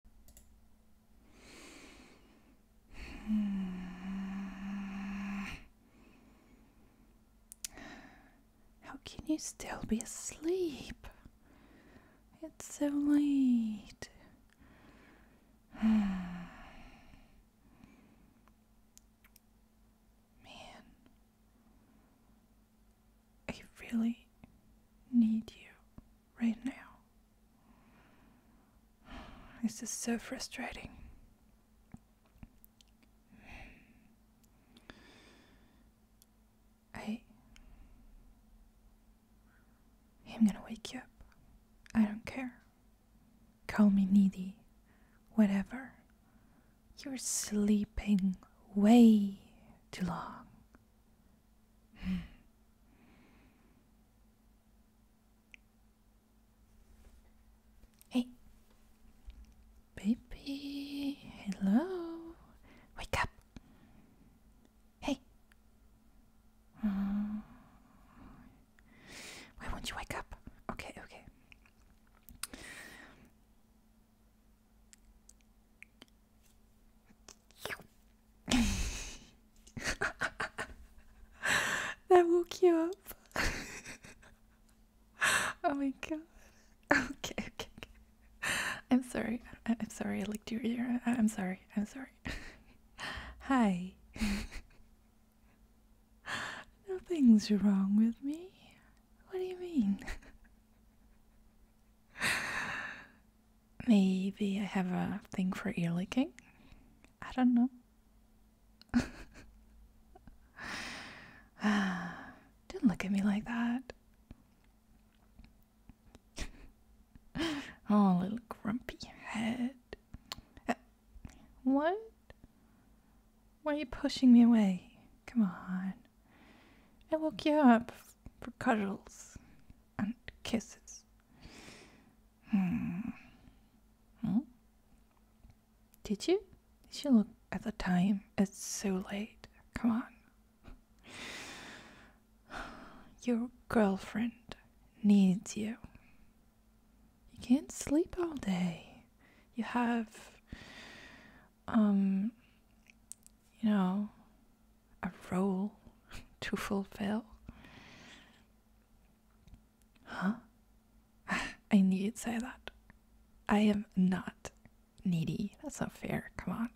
How can you still be asleep? It's so late. Man, I really need you right now. This is so frustrating. I. I'm gonna wake you up. I don't care. Call me needy. Whatever. You're sleeping way too long. hey, baby, hello, wake up. Hey, why won't you wake up? Okay, okay. that woke you up. oh my god. Okay, okay, okay. I'm sorry. I am sorry. I licked your ear. I I'm sorry. I'm sorry. Hi. Nothing's wrong with me. What do you mean? Maybe I have a thing for ear licking. I don't know. Didn't look at me like that. oh, little grumpy head. Uh, what? Why are you pushing me away? Come on. I woke you up for cuddles and kisses. Hmm. Did you? Did you look at the time? It's so late. Come on. Your girlfriend needs you. You can't sleep all day. You have um, you know, a role to fulfill. Huh? I need to say that. I am not needy. That's not fair. Come on.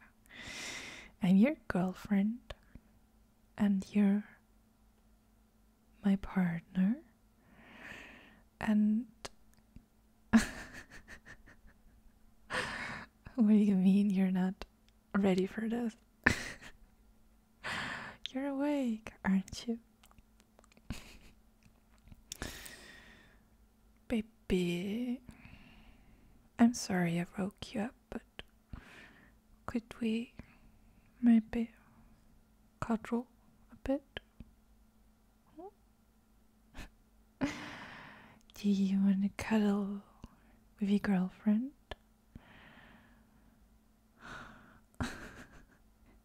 I'm your girlfriend and you're my partner. And what do you mean you're not ready for this? you're awake, aren't you? Baby, I'm sorry I woke you up, but could we maybe cuddle a bit? Do you want to cuddle with your girlfriend?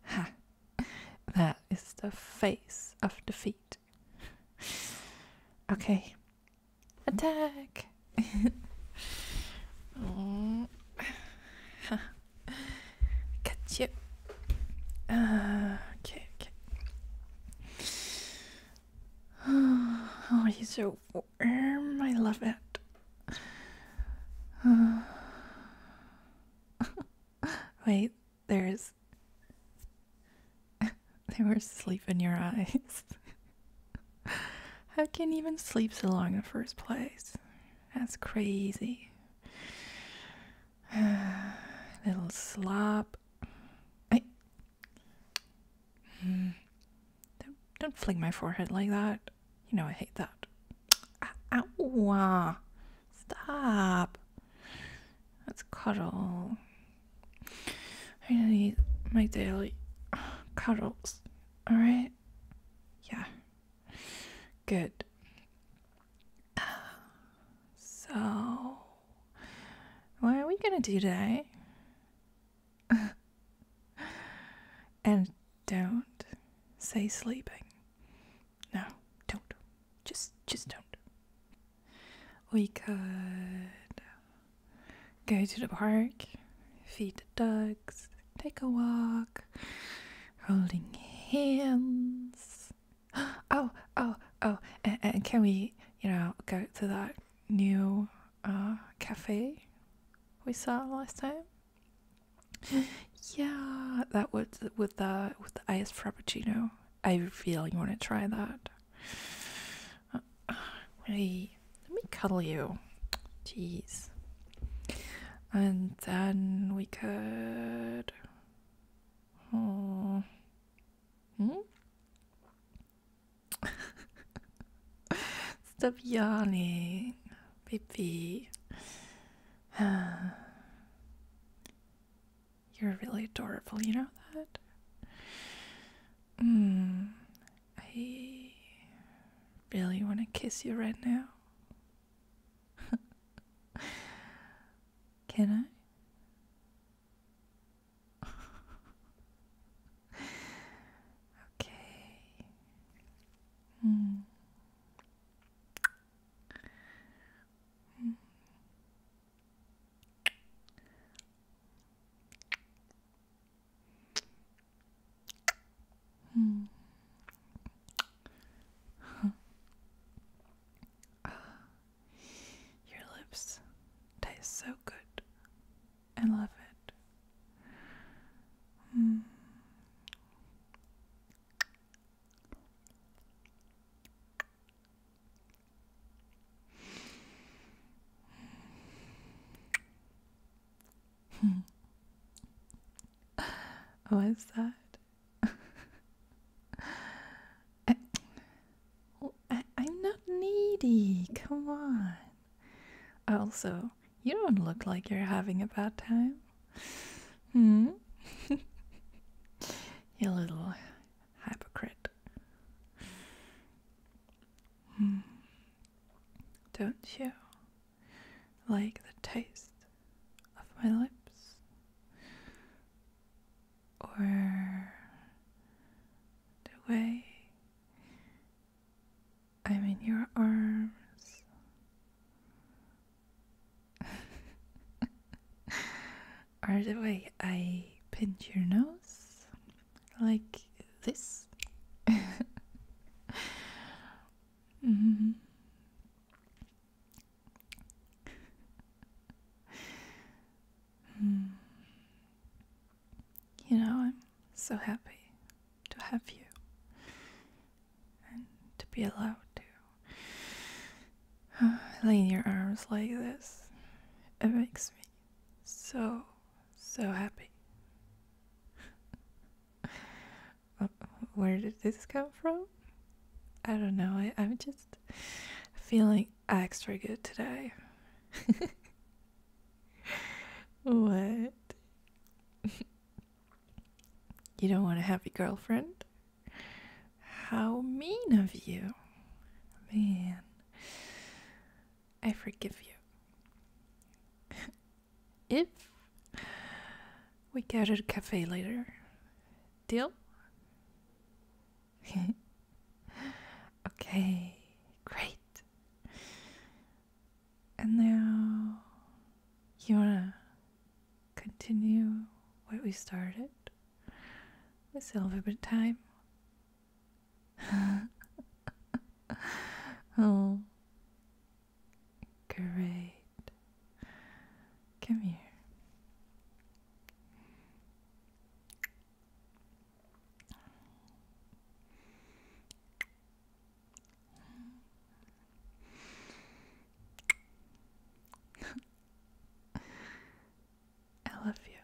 ha! That is the face of defeat. okay. Attack! oh. Catch you. Uh, okay, Oh, he's so warm. I love it. wait, there's. there was sleep in your eyes. How can you even sleep so long in the first place? That's crazy. Little slop. I. Hmm. Don't, don't fling my forehead like that. You know I hate that. Ah, ow. Ah. Stop. Let's cuddle. I need my daily cuddles. Alright? Yeah. Good. So, what are we gonna do today? and don't say sleeping. No, don't. Just, just don't. We could go to the park, feed the ducks, take a walk, holding hands. oh, oh, oh, and, can we, you know, go to that new uh, cafe we saw last time? yeah, that was with the with the iced frappuccino. I feel you want to try that. Uh, wait, let me cuddle you. Jeez. And then we could Hmm. Stop yawning, baby. You're really adorable, you know that? Mm, I really want to kiss you right now. Can I? okay. Hmm. Hmm. Hmm. your lips taste so good. I love it. Hmm. What's that? I, am not needy, come on. Also, you don't look like you're having a bad time. Hmm? you little hypocrite. Hmm. Don't you? like the taste of my lips or the way I'm in your arms. or the way I pinch your nose like this. Mm-hmm. Hmm. You know, I'm so happy to have you and to be allowed to uh, lean your arms like this. It makes me so, so happy where did this come from? I don't know. I, I'm just feeling extra good today. what? you don't want a happy girlfriend? How mean of you. Man, I forgive you if we go to the cafe later. Deal? okay, great. And now, you wanna continue what we started? Let's have a bit time. oh, Great. Come here. I love you.